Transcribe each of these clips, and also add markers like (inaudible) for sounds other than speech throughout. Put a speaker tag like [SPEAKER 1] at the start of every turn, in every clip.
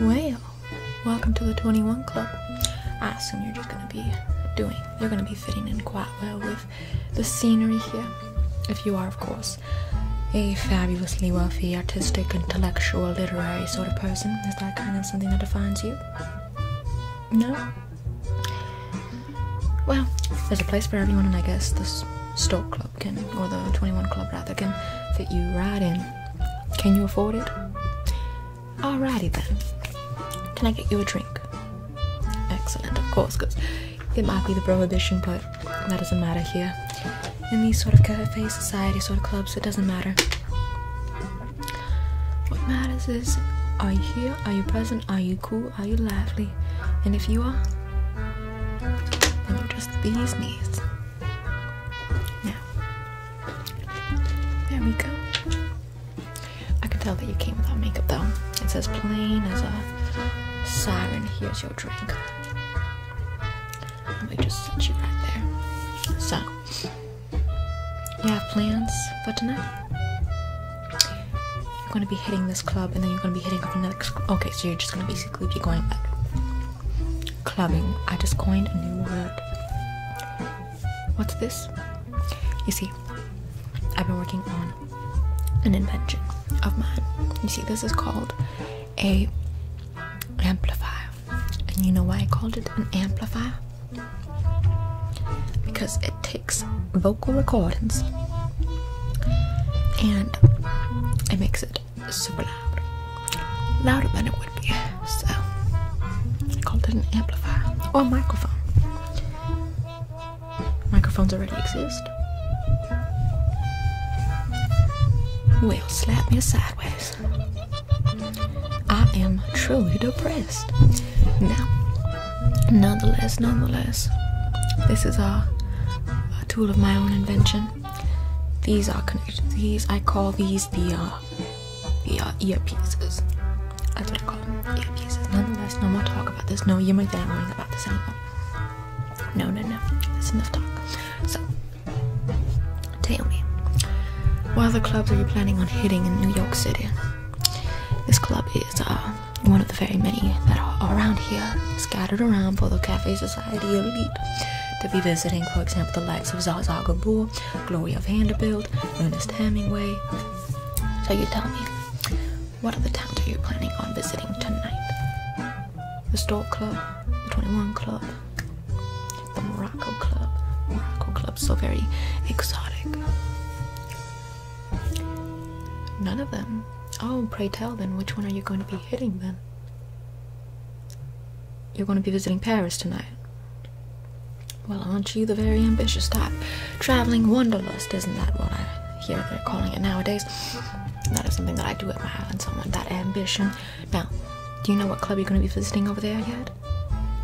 [SPEAKER 1] Well, welcome to the 21 Club. I assume you're just gonna be doing, you're gonna be fitting in quite well with the scenery here. If you are, of course, a fabulously wealthy, artistic, intellectual, literary sort of person. Is that kind of something that defines you? No? Well, there's a place for everyone, and I guess The store club can or the 21 club rather can fit you right in can you afford it alrighty then can i get you a drink excellent of course because it might be the prohibition but that doesn't matter here in these sort of cafe society sort of clubs it doesn't matter what matters is are you here are you present are you cool are you lively and if you are then you're just these knees now, there we go. I can tell that you came without makeup though. It's as plain as a siren. Here's your drink. Let me just set you right there. So, you have plans for tonight? You're going to be hitting this club and then you're going to be hitting up another. club. Okay, so you're just going to be be going clubbing. I just coined a new word. What's this? You see, I've been working on an invention of mine. You see, this is called a amplifier. And you know why I called it an amplifier? Because it takes vocal recordings and it makes it super loud, louder than it would be. So I called it an amplifier or a microphone. Microphones already exist. Well, slap me sideways. I am truly depressed. Now, nonetheless, nonetheless, this is a tool of my own invention these are connected. These I call these the uh, the uh, earpieces. That's what I call them. Earpieces. Nonetheless, no more talk about this. No, you're my dad worrying about this anymore. No, no, no. That's enough talk. So, tell me, what other clubs are you planning on hitting in New York City? This club is uh, one of the very many that are around here, scattered around. for the cafes society elite to be visiting, for example, the likes of Zaza Gabor, Gloria Vanderbilt, Ernest Hemingway. So you tell me, what other towns are you planning on visiting tonight? The Stork Club, the 21 Club, the Morocco Club. Morocco Club, so very exotic. None of them. Oh, pray tell then, which one are you going to be hitting then? You're going to be visiting Paris tonight. Well, aren't you the very ambitious type? Traveling wanderlust, isn't that what I hear they're calling it nowadays? That is something that I do at my island, someone, that ambition. Now, do you know what club you're going to be visiting over there yet?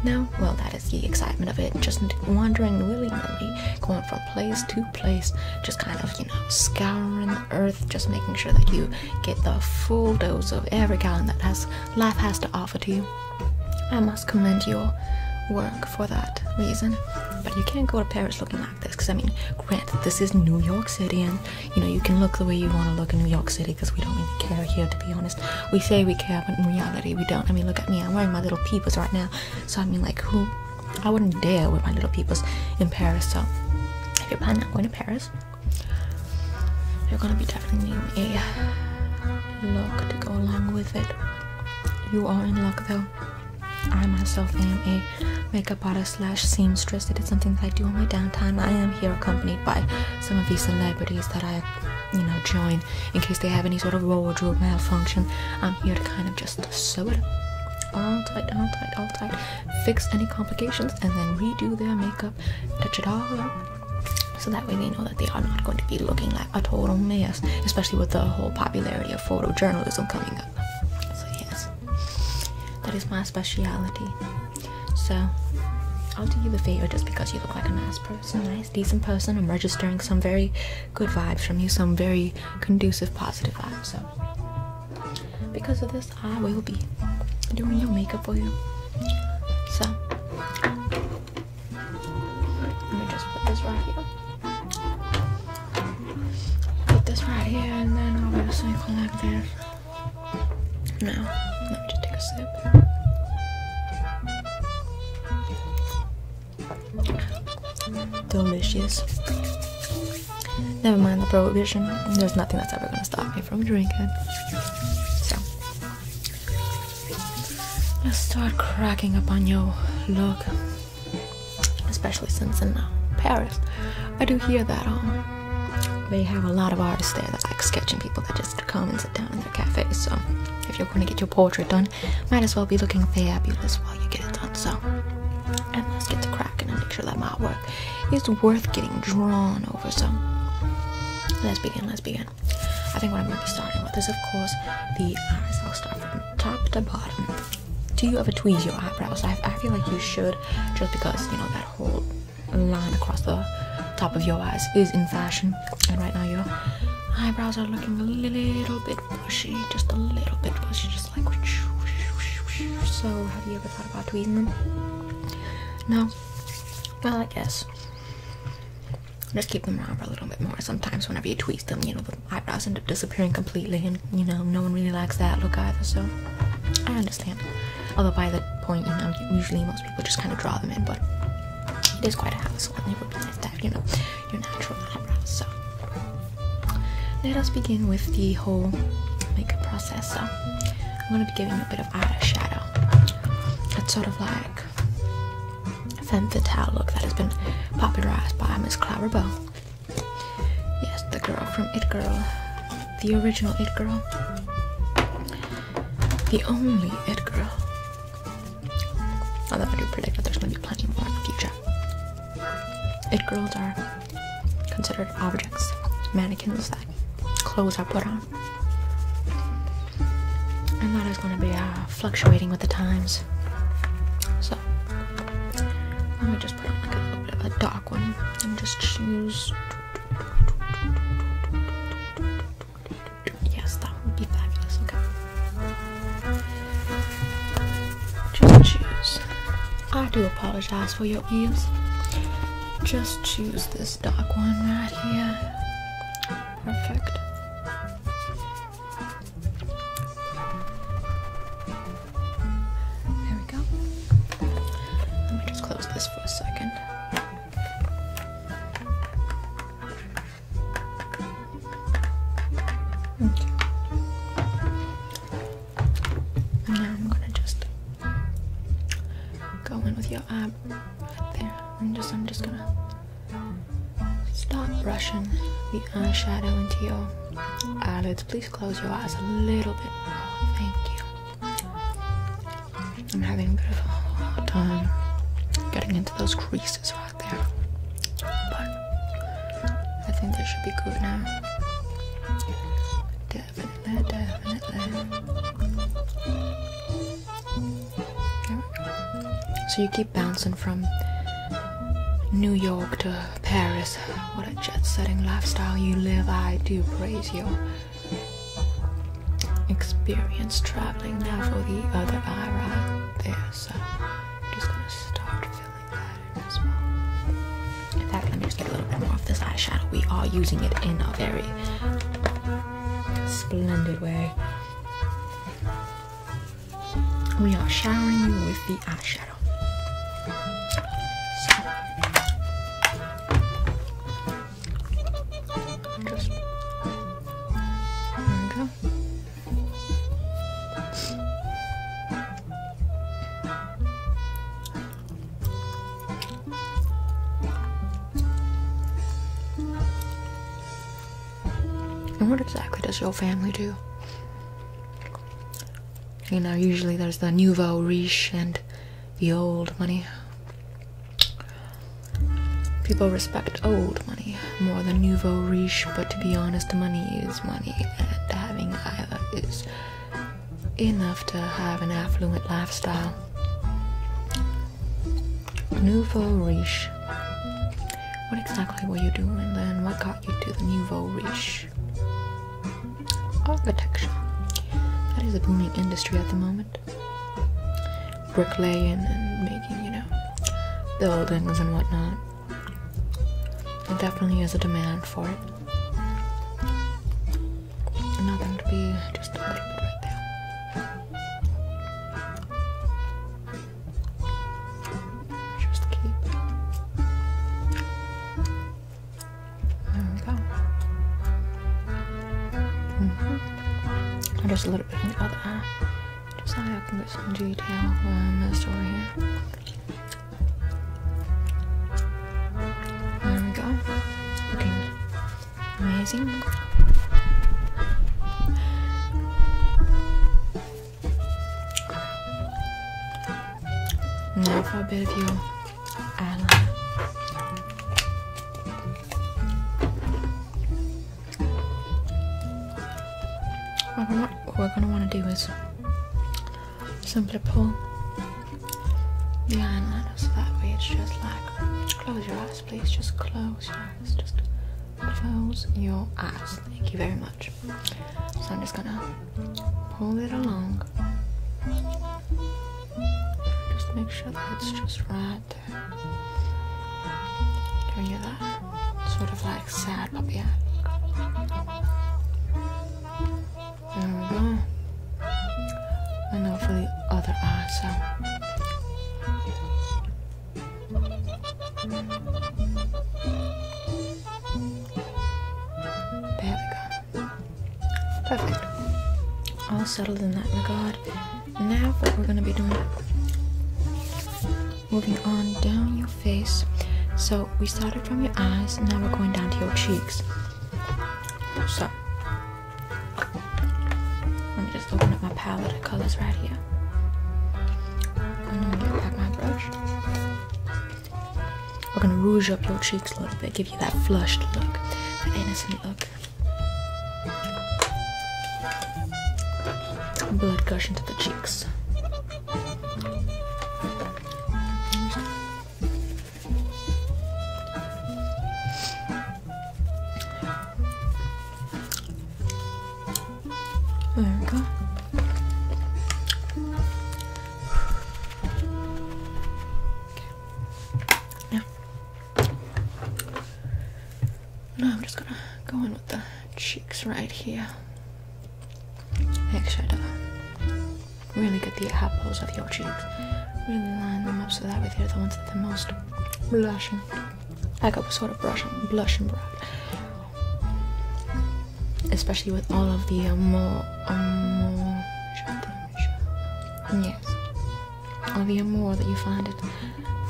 [SPEAKER 1] No? Well, that is the excitement of it. Just wandering willy nilly, going from place to place, just kind of, you know, scouring earth, just making sure that you get the full dose of every gallon that has life has to offer to you. I must commend your work for that reason. But you can't go to Paris looking like this, because I mean, grant this is New York City, and you know you can look the way you want to look in New York City, because we don't really care here, to be honest. We say we care, but in reality we don't. I mean, look at me. I'm wearing my little peepers right now, so I mean, like, who? I wouldn't dare with my little peoples in Paris. So if you're planning on going to Paris, you're gonna be definitely needing a look to go along with it. You are in luck though. I myself am a makeup artist slash seamstress. It is something that I do on my downtime. I am here accompanied by some of these celebrities that I, you know, join in case they have any sort of wardrobe malfunction. I'm here to kind of just sew it all tight, all tight, all tight fix any complications, and then redo their makeup, touch it all up, so that way they know that they are not going to be looking like a total mess, especially with the whole popularity of photojournalism coming up. So, yes, that is my specialty. So, I'll do you the favor just because you look like a nice person, nice, decent person. I'm registering some very good vibes from you, some very conducive, positive vibes. So, because of this, I will be doing your makeup for you. So let me just put this right here. Put this right here and then obviously collect this. Now, let me just take a sip. Delicious. Never mind the prohibition. There's nothing that's ever gonna stop me from drinking. So let's start cracking up on you. look. Especially since in uh, Paris, I do hear that um they have a lot of artists there that like sketching people that just come and sit down in their cafes. So if you're gonna get your portrait done, might as well be looking fabulous while you get it done. So and let's get to cracking and make sure that my work it's worth getting drawn over. So let's begin, let's begin. I think what I'm going to be starting with is, of course, the eyes. I'll start from top to bottom. Do you ever tweeze your eyebrows? I, I feel like you should, just because, you know, that whole line across the top of your eyes is in fashion. And right now, your eyebrows are looking a little bit bushy, just a little bit bushy, just like. So, have you ever thought about tweezing them. No. Well, I guess. Just keep them around for a little bit more. Sometimes whenever you tweeze them, you know, the eyebrows end up disappearing completely and, you know, no one really likes that look either, so I understand. Although by that point, you know, usually most people just kind of draw them in, but it is quite a hassle and it would be nice to have, you know, your natural eyebrows, so let us begin with the whole makeup process. So I'm gonna be giving a bit of eye shadow. That's sort of like a femme fatale look that has been popularized by Miss Clara Bow. Yes, the girl from It Girl, the original It Girl, the only It Girl. Although I do predict that there's gonna be plenty more in the future. It Girls are considered objects, mannequins that clothes are put on. And that is going to be uh, fluctuating with the times. So, let me just put on like a little bit of a dark one and just choose. Yes, that
[SPEAKER 2] would be fabulous. Okay. Just choose
[SPEAKER 1] I do apologize for your ears. Just choose this dark one right here. Perfect. There we go. Let me just close this for a second. Okay. And now I'm gonna just go in with your ab right there. And just I'm just gonna start brushing the eyeshadow into your eyelids. Please close your eyes a little bit more. Thank you. I'm having a bit of a hard time getting into those creases right there. But I think that should be good now. Definitely, definitely. So you keep bouncing from New York to Paris. What a jet setting lifestyle you live. I do praise your experience traveling now for the other eye right there. So I'm just gonna start filling like that as In fact, let me just get a little bit more of this eyeshadow. We are using it in a very splendid way. We are showering you with the eyeshadow. Just there we go. And what exactly does your family do? You know, usually there's the nouveau riche and the old money. People respect old money more than nouveau riche, but to be honest, money is money, and having either is enough to have an affluent lifestyle. Nouveau riche. What exactly were you doing then? What got you to the nouveau riche? Architecture. That is a booming industry at the moment. Bricklaying and making, you know, buildings and whatnot. There definitely has a demand for it. Nothing to be just a little bit right there. Just keep. There we go. Mm -hmm. And just a little bit in the other eye. Just so I can get some detail um, that's over here. There we go. amazing. Now for a I of your eyeliner. What we're gonna want to do is simply pull the iron out that way it's just like close your eyes please just close your eyes just close your eyes thank you very much so i'm just gonna pull it along just make sure that it's just right Can you hear that sort of like sad puppy eye there we go. And now for the other eye, so. There we go. Perfect. All settled in that regard. Now what we're gonna be doing, moving on down your face. So we started from your eyes, now we're going down to your cheeks. So let me just open up my palette of colors right here. And then back my brush. We're gonna rouge up your cheeks a little bit, give you that flushed look, that innocent look. Blood gush into the cheeks. There we go. Okay. Now, now I'm just gonna go in with the cheeks right here. Make sure to really get the apples of your cheeks. Really line them up so that way they the ones that are most blushing. I got sort of brushing, blushing brow. Especially with all of the um, more, um, yes, all the amour that you find at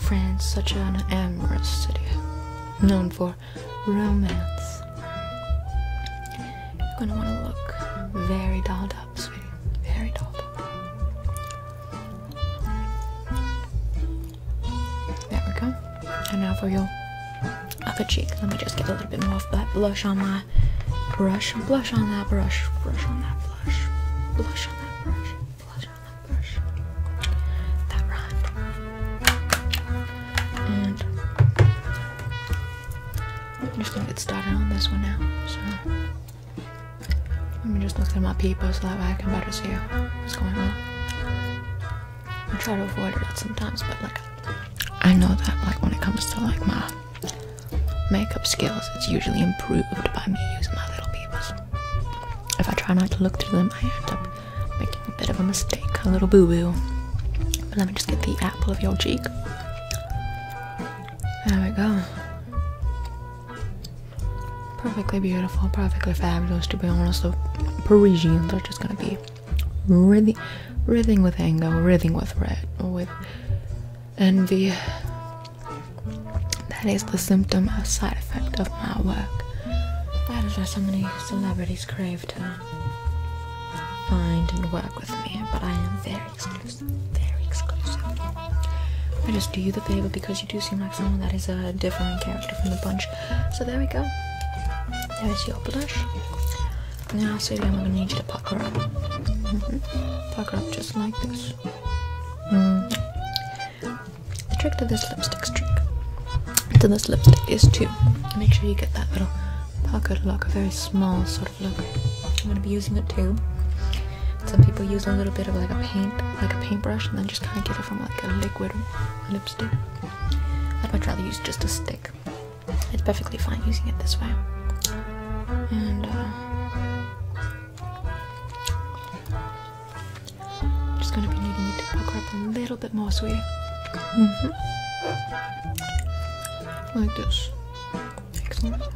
[SPEAKER 1] France, such an amorous city, known for romance. You're gonna want to look very dolled up, sweetie. Very dolled up. There we go. And now for your other cheek. Let me just get a little bit more of that blush on my brush. Blush on that brush. Brush on that blush. Blush on that brush. Blush on that brush. That rhymed. And I'm just gonna get started on this one now. So let me just look at my paper so that way I can better see what's going on. I try to avoid it sometimes, but like I know that like when it comes to like my makeup skills, it's usually improved by me using my little papers. If I try not to look through them, I end up making a bit of a mistake, a little boo boo. But let me just get the apple of your cheek. There we go. Perfectly beautiful, perfectly fabulous. To be honest, the Parisians are just gonna be writhing, writhing with anger, writhing with red, with envy. That is the symptom, a side effect of my work. That is why so many celebrities crave to find and work with me, but I am very exclusive. Very exclusive. I just do you the favor because you do seem like someone that is a different character from the bunch. So there we go. There's your blush. Now, Sadie, I'm gonna need you to pucker up. Mm up just like this. Mm. The trick to this lipstick trick to this lipstick is to make sure you get that little pocket look, a very small sort of look. I'm gonna be using it too. Some people use a little bit of like a paint, like a paintbrush, and then just kind of give it from like a liquid lipstick. I'd much rather use just a stick. It's perfectly fine using it this way. And uh, just gonna be needing to pucker up a little bit more, sweetie. Mm-hmm. Like this. Excellent. So,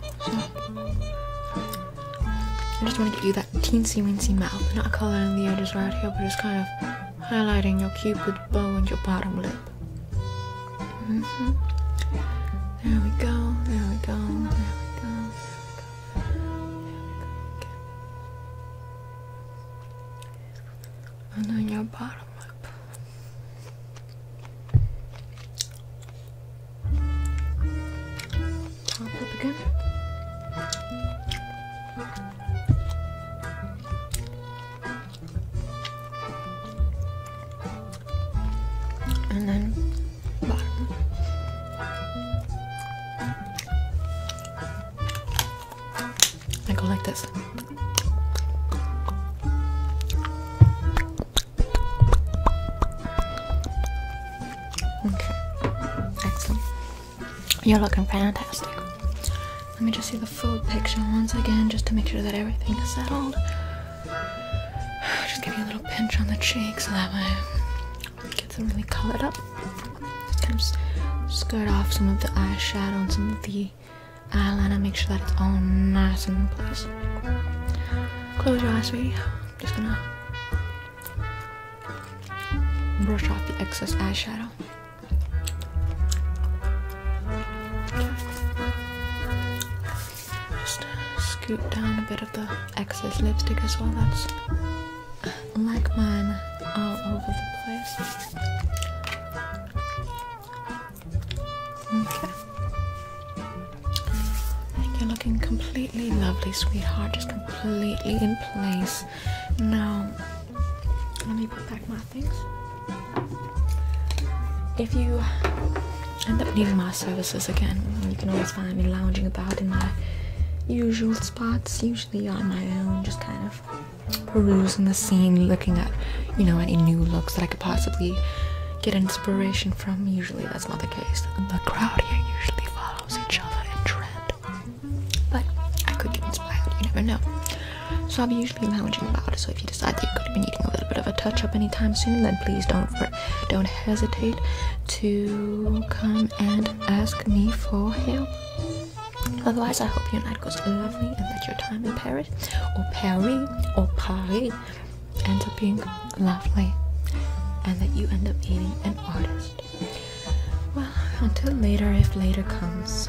[SPEAKER 1] I just want to get you that teensy weensy mouth, not coloring the edges right here, but just kind of highlighting your cupid bow and your bottom lip. Mm-hmm. There we go, there we go, there we go, there we go, And then your bottom lip. Top up again. And then bottom. I go like this. Okay, excellent. You're looking fantastic. Let me just see the full picture once again just to make sure that everything is settled. Just give you a little pinch on the cheek so that way it gets really colored up. Just Kind of skirt off some of the eyeshadow and some of the the uh, eyeliner, make sure that it's all nice and in place. Close your eyes, sweetie. just gonna brush off the excess eyeshadow. Just uh, scoop down a bit of the excess lipstick as well. That's uh, like mine all over the place. You're looking completely lovely, sweetheart. Just completely in place. Now, let me put back my things. If you end up needing my services again, you can always find me lounging about in my usual spots. Usually on my own, just kind of perusing the scene, looking at, you know, any new looks that I could possibly get inspiration from. Usually that's not the case. The crowd here usually follows each other in trend. But I could get inspired, you never know. So I'll be usually lounging about, so if you decide that you could have been needing a little bit of a touch-up anytime soon, then please don't don't hesitate to come and ask me for help. Otherwise, I hope your night goes lovely and that your time in Paris or Paris or Paris ends up being lovely and that you end up meeting an artist. Well, until later, if later comes,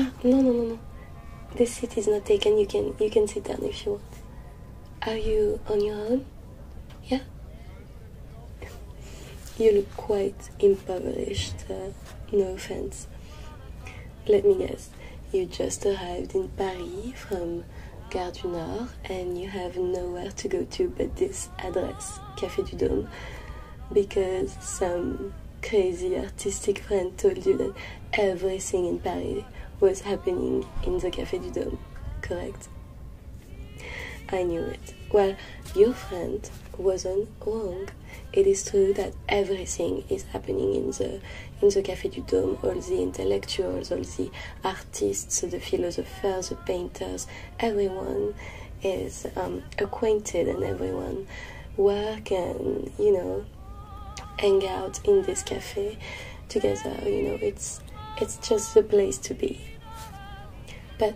[SPEAKER 2] Ah, no, no, no, no. This seat is not taken. You can you can sit down if you want. Are you on your own? Yeah. you look quite impressed published. Uh, no offense. Let me guess. You just arrived in Paris from Gare du Nord and you have nowhere to go to but this address, Café du Dôme, because some crazy artistic friend told you that everything in Paris was happening in the Café du Dôme, correct? I knew it. Well, your friend wasn't wrong it is true that everything is happening in the in the Café du Dôme. All the intellectuals, all the artists, the philosophers, the painters, everyone is um, acquainted, and everyone work and you know hang out in this cafe together. You know, it's it's just the place to be. But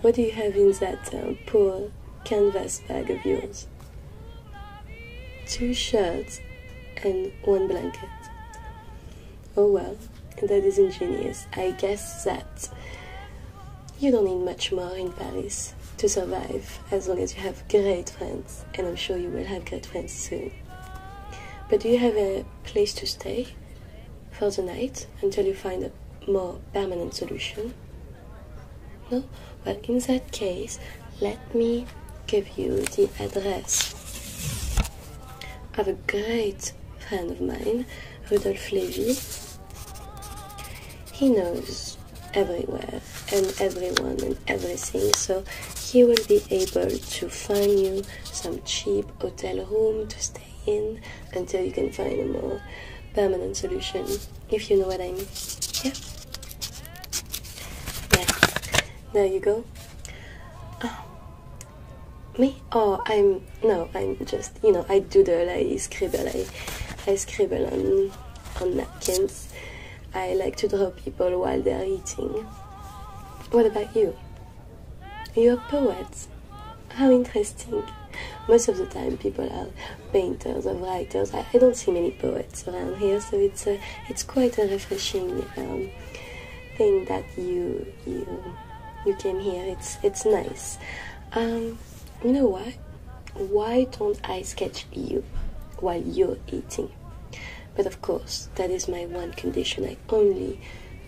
[SPEAKER 2] what do you have in that uh, poor canvas bag of yours? Two shirts and one blanket. Oh well, that is ingenious. I guess that you don't need much more in Paris to survive as long as you have great friends, and I'm sure you will have great friends soon. But do you have a place to stay for the night until you find a more permanent solution? No? but in that case, let me give you the address of a great friend of mine, Rudolf Levy. He knows everywhere and everyone and everything, so he will be able to find you some cheap hotel room to stay in until you can find a more permanent solution, if you know what I mean. Yeah. Yeah. There you go. Um, me? Oh, I'm no. I'm just you know I doodle. I scribble. I I scribble on on napkins. I like to draw people while they're eating. What about you? You're a poet. How interesting. Most of the time, people are painters or writers. I, don't see many poets around here, so it's uh, it's quite a refreshing um, thing that you you you came here. It's it's nice. Um, you know why? Why don't I sketch you while you're eating? But of course, that is my one condition. I only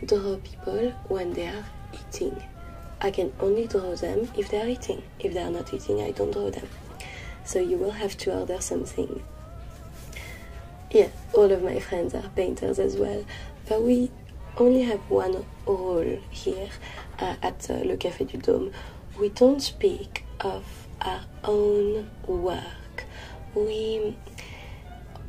[SPEAKER 2] draw people when they are eating. I can only draw them if they are eating. If they are not eating, I don't draw them. So you will have to order something. Yeah, all of my friends are painters as well, but we only have one role here uh, at uh, Le Café du Dôme. We don't speak of our own work. We,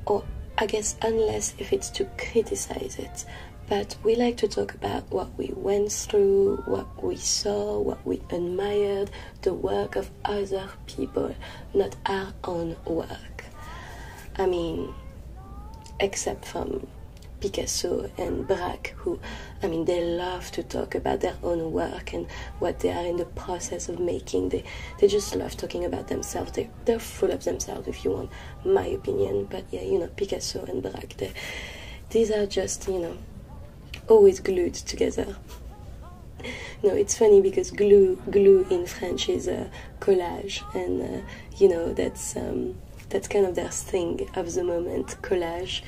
[SPEAKER 2] or I guess, unless if it's to criticize it but we like to talk about what we went through, what we saw, what we admired, the work of other people, not our own work. I mean, except from Picasso and Brac, who, I mean, they love to talk about their own work and what they are in the process of making. They, they just love talking about themselves. They, they're full of themselves, if you want my opinion. But yeah, you know, Picasso and Brac. These are just, you know, always glued together. No, it's funny because glue, glue in French is collage, and uh, you know that's um, that's kind of their thing of the moment. Collage,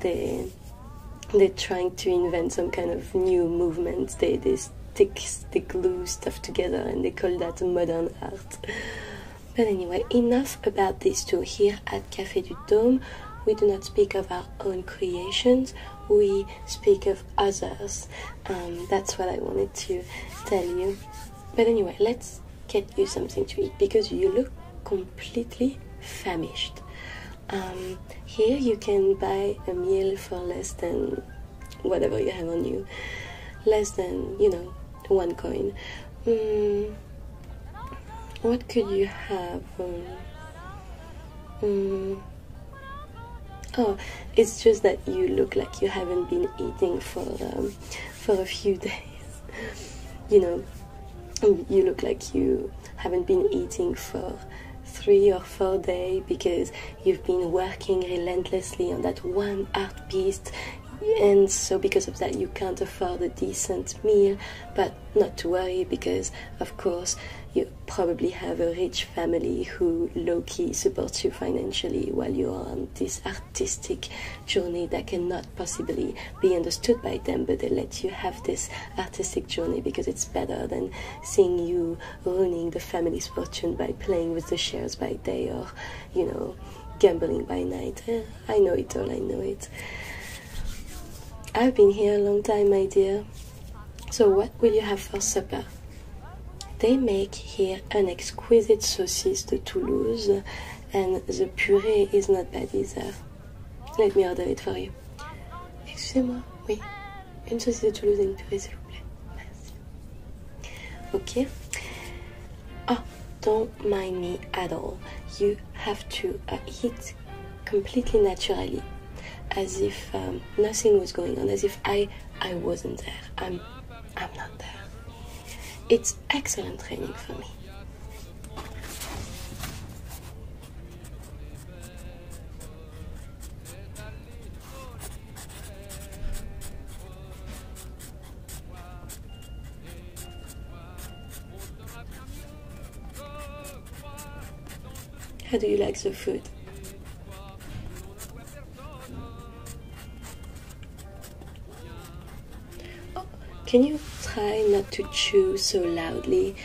[SPEAKER 2] they they're trying to invent some kind of new movement. They they stick they glue stuff together, and they call that modern art. But anyway, enough about these two. Here at Café du Dôme, we do not speak of our own creations, we speak of others. Um, that's what I wanted to tell you. But anyway, let's get you something to eat because you look completely famished. Um, here you can buy a meal for less than whatever you have on you, less than, you know, one coin. Um, what could you have? Um, hmm. oh, it's just that you look like you haven't been eating for um, for a few (laughs) days. you know, you look like you haven't been eating for three or four days because you've been working relentlessly on that one art piece and so because of that you can't afford a decent meal but not to worry because of course you probably have a rich family who low-key supports you financially while you are on this artistic journey that cannot possibly be understood by them but they let you have this artistic journey because it's better than seeing you ruining the family's fortune by playing with the shares by day or you know gambling by night I know it all, I know it. I've been here a long time, my dear. So, what will you have for supper? They make here an exquisite saucisse de Toulouse, and the puree is not bad either. Let me order it for you. Excusez-moi, oui. Une saucisse de Toulouse et une purée, s'il Merci. Ok. Ah, don't mind me at all. You have to eat uh, completely naturally, as if um, nothing was going on, as if I I wasn't there. I'm I'm not there. It's excellent training for me. How do you like the food? Oh, can you try not to chew so loudly?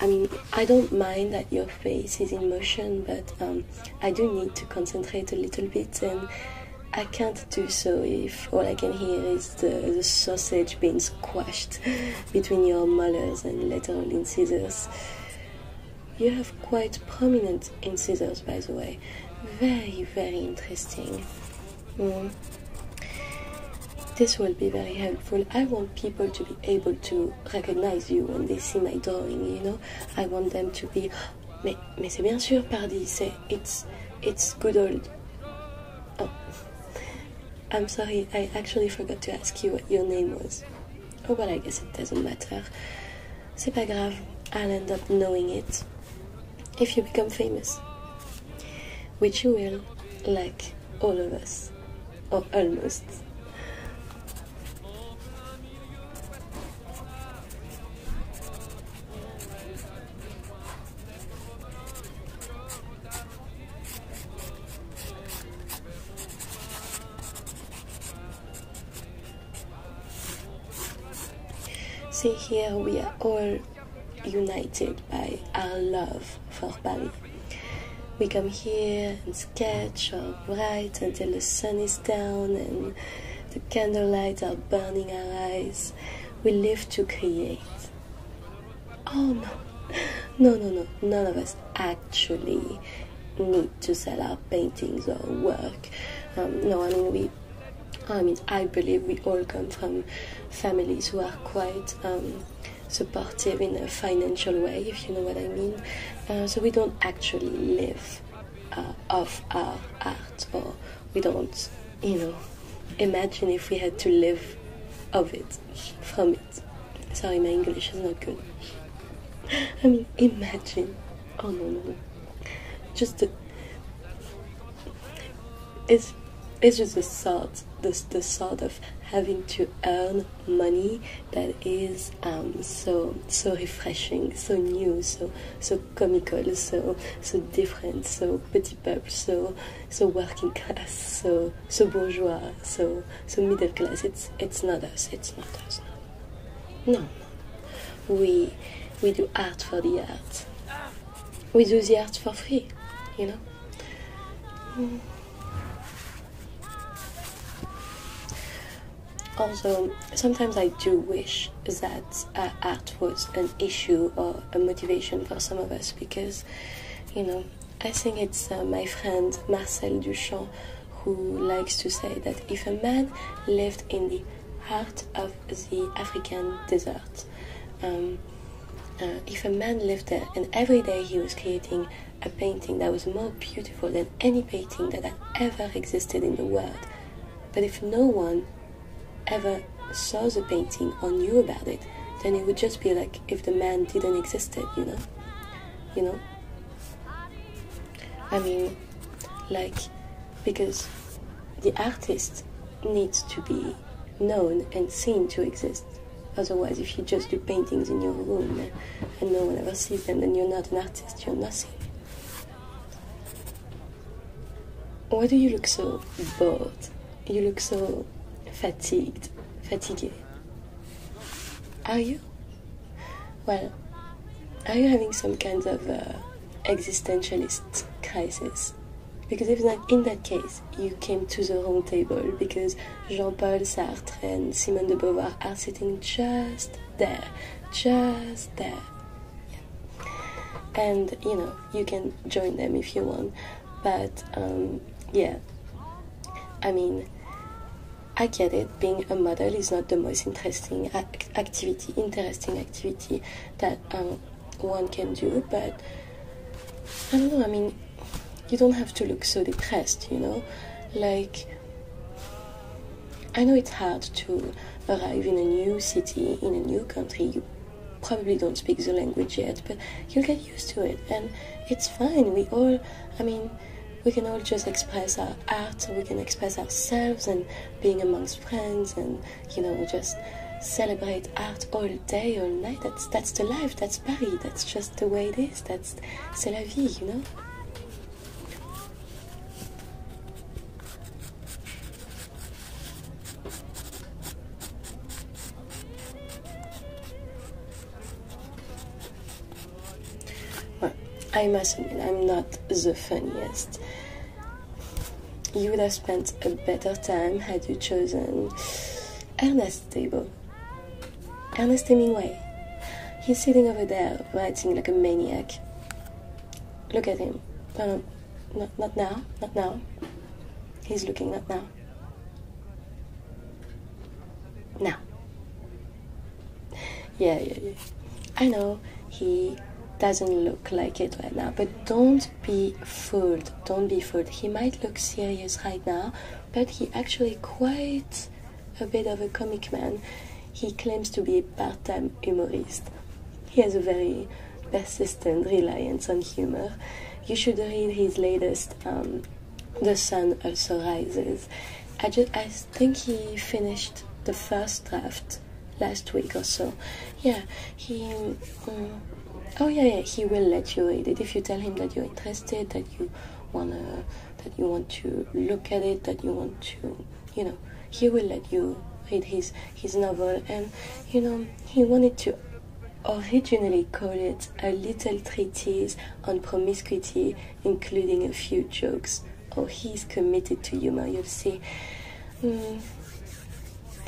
[SPEAKER 2] I mean, I don't mind that your face is in motion, but um, I do need to concentrate a little bit and I can't do so if all I can hear is the, sausage being squashed between your molars and lateral incisors. You have quite prominent incisors, by the way. Very, very interesting. Hmm. This will be very helpful. I want people to be able to recognize you when they see my drawing, you know? I want them to be, but mais c'est bien sûr, pardi, it's, it's good old. Oh. I'm sorry, I actually forgot to ask you what your name was. Oh well, I guess it doesn't matter. C'est pas grave, I'll end up knowing it. If you become famous. Which you will, like all of us. Or almost. See, here we are all united by our love for Paris. We come here and sketch or write until the sun is down and the candlelight are burning our eyes we live to create. Oh no, no, no, no, none of us actually need to sell our paintings or work. Um, no, I mean, we, I mean, I believe we all come from families who are quite. Um, supportive in a financial way, if you know what I mean. Uh, so we don't actually live uh, off our or we don't, you know, imagine if we had to live of it, from it. Sorry, my English is not good. (laughs) I mean, imagine. Oh no, no, no. Just It's it's just the thought, the the thought of having to earn money that is um so so refreshing, so new, so so comical, so so different, so petit peuple, so so working class, so so bourgeois, so so middle class. It's it's not us. It's not us. No, no. We we do art for the art. We do the art for free, you know. Mm. Also, sometimes I do wish that uh, art was an issue or a motivation for some of us because, you know, I think it's uh, my friend Marcel Duchamp who likes to say that if a man lived in the heart of the African desert, um, uh, if a man lived there and every day he was creating a painting that was more beautiful than any painting that had ever existed in the world, but if no one ever saw the painting or knew about it, then it would just be like if the man didn't existed, you know? You know? I mean, like, because the artist needs to be known and seen to exist. Otherwise, if you just do paintings in your room and no one ever sees them, then you're not an artist, you're nothing. Why do you look so bored? You look so fatigued, fatigued. Are you? Well, are you having some kind of uh, existentialist crisis? Because if not, in that case, you came to the wrong table because Jean Paul Sartre and Simone de Beauvoir are sitting just there, just there and you know you can join them if you want but um, yeah i mean I get it. Being a model is not the most interesting activity, interesting activity that um, one can do. But I don't know. I mean, you don't have to look so depressed, you know. Like I know it's hard to arrive in a new city, in a new country. You probably don't speak the language yet, but you'll get used to it, and it's fine. We all, I mean, we can all just express our art, we can express ourselves, and being amongst friends, and you know, just celebrate art all day, all night. That's that's the life. That's Paris. That's just the way it is. That's c'est la vie, you know. I must admit, I'm not the funniest. You would have spent a better time had you chosen Ernest Table. Ernest Hemingway. He's sitting over there writing like a maniac. Look at him. Not, not now, not now. He's looking, not now. Now. Yeah, yeah, yeah. I know he doesn't look like it right now, but don't be fooled. Don't be fooled. He might look serious right now, but he actually quite a bit of a comic man. He claims to be part-time humorist. He has a very persistent reliance on humor. You should read his latest, um, The Sun Also Rises. I, just, I think he finished the first draft last week or so. Yeah,
[SPEAKER 1] he. Mm,
[SPEAKER 2] oh yeah, yeah, he will let you read it if you tell him that you're interested, that you wanna, that you want to look at it, that you want to you know he will let you read his his novel and you know he wanted to originally call it a little treatise on promiscuity including a few jokes oh he's committed to humor you'll see mm,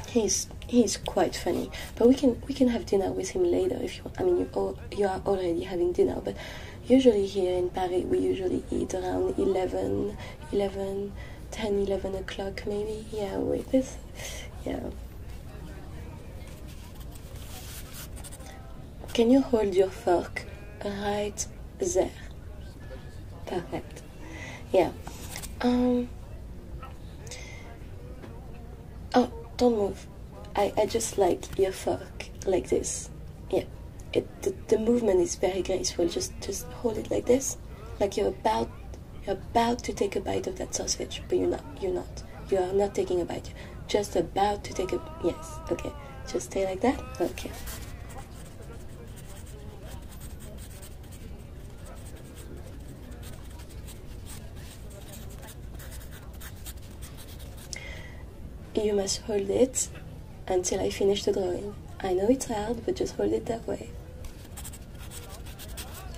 [SPEAKER 2] he's he's quite funny but we can we can have dinner with him later if you want. i mean you you are already having dinner but usually here in paris we usually eat around 11 11 10 11 o'clock maybe yeah wait. this yeah can you hold your fork right there perfect yeah um oh don't move i i just like your fork like this yeah it the, the movement is very graceful. Just just hold it like this, like you're about you're about to take a bite of that sausage, but you're not. You're not. You are not taking a bite. just about to take a yes. Okay. Just stay like that. Okay. You must hold it until I finish the drawing. I know it's hard, but just hold it that way.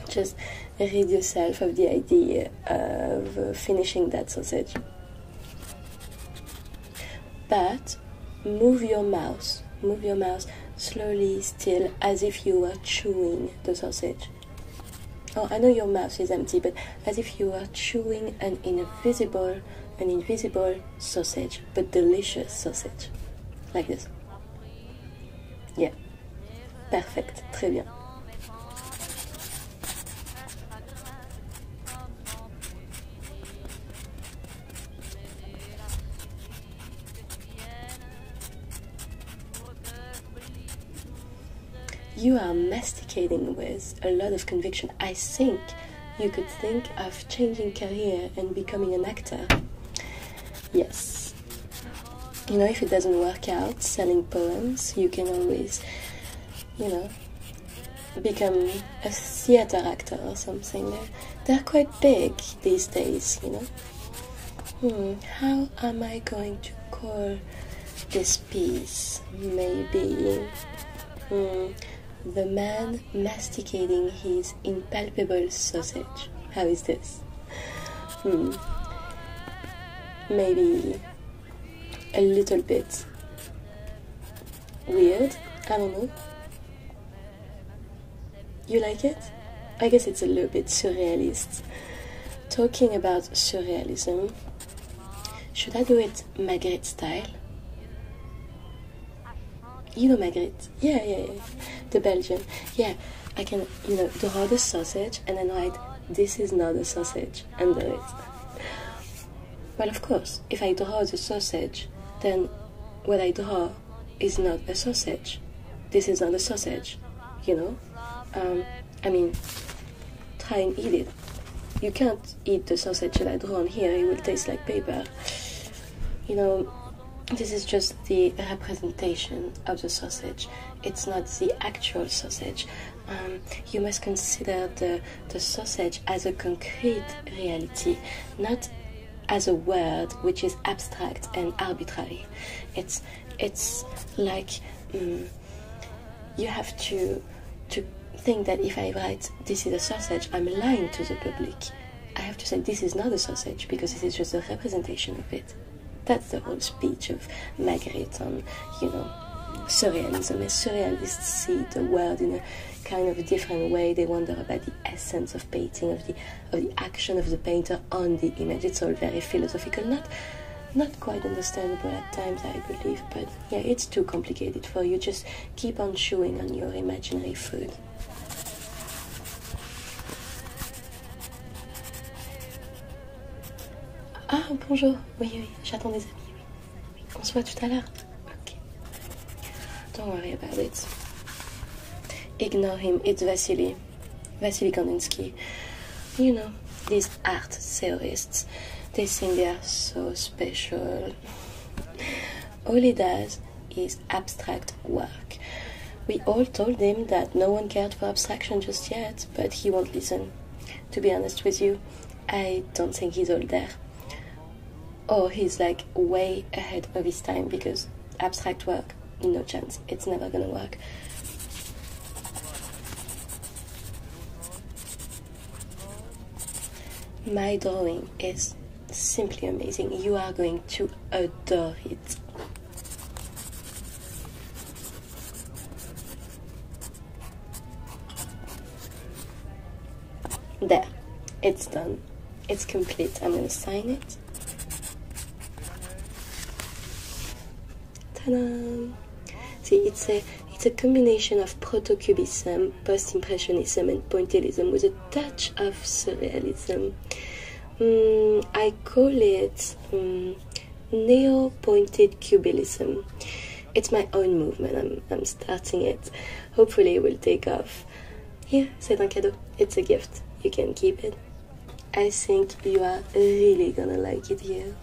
[SPEAKER 2] Just rid yourself of the idea of uh, finishing that sausage. But move your mouse, move your mouse slowly, still, as if you were chewing the sausage. Oh, I know your mouth is empty, but as if you were chewing an invisible, an invisible sausage but delicious sausage. Like this. Yeah. Perfect. Très bien. You are masticating with a lot of conviction. I think you could think of changing career and becoming an actor. Yes. You know, if it doesn't work out selling poems, you can always, you know, become a theater actor or something. They're quite big these days, you know. Hmm, how am I going to call this piece? Maybe hmm, The Man masticating his impalpable sausage. How is this? Hmm. Maybe a little bit weird. I don't know. You like it? I guess it's a little bit surrealist. Talking about surrealism, should I do it Magritte style? You know Marguerite. Yeah, yeah, yeah. The Belgian. Yeah, I can, you know, draw the sausage and then write, this is not a sausage, and do it. Well, of course, if I draw the sausage, then what I draw is not a sausage. This is not a sausage, you know? Um, I mean, try and eat it. You can't eat the sausage that I draw on here, it will taste like paper. You know, this is just the representation of the sausage, it's not the actual sausage. Um, you must consider the, the sausage as a concrete reality, not as a word which is abstract and arbitrary. It's, it's like mm, you have to, to think that if I write this is a sausage, I'm lying to the public. I have to say, this is not a sausage because it is just a representation of it. That's the whole speech of Magritte on, you know, surrealism. And surrealists see the world in a kind of different way. They wonder about the essence of painting, of the of the action of the painter on the image. It's all very philosophical, not not quite understandable at times, I believe, but yeah, it's too complicated for you. Just keep on chewing on your imaginary food. Ah, bonjour. Oui, oui, j'attends des amis. On se voit tout à l'heure. Ok. Don't worry about it. Ignore him. It's Vasily. Vasily Kandinsky. You know, these art theorists, they think they are so special. all he does is abstract work. We all told him that no one cared for abstraction just yet, but he won't listen. To be honest with you, I don't think he's all there. Or he's like way ahead of his time because abstract work, no chance, it's never gonna work. My drawing is simply amazing. You are going to adore it. There, it's done. It's complete. I'm going to sign it. Ta-da! See, it's a, it's a combination of proto cubism post-impressionism and pointillism with a touch of surrealism. Mm, I call it mm, neo-pointed cubism. It's my own movement. I'm, starting it. Hopefully, it will take off. Here, c'est un cadeau. It's a gift. You can keep it. I think you are really gonna like it here.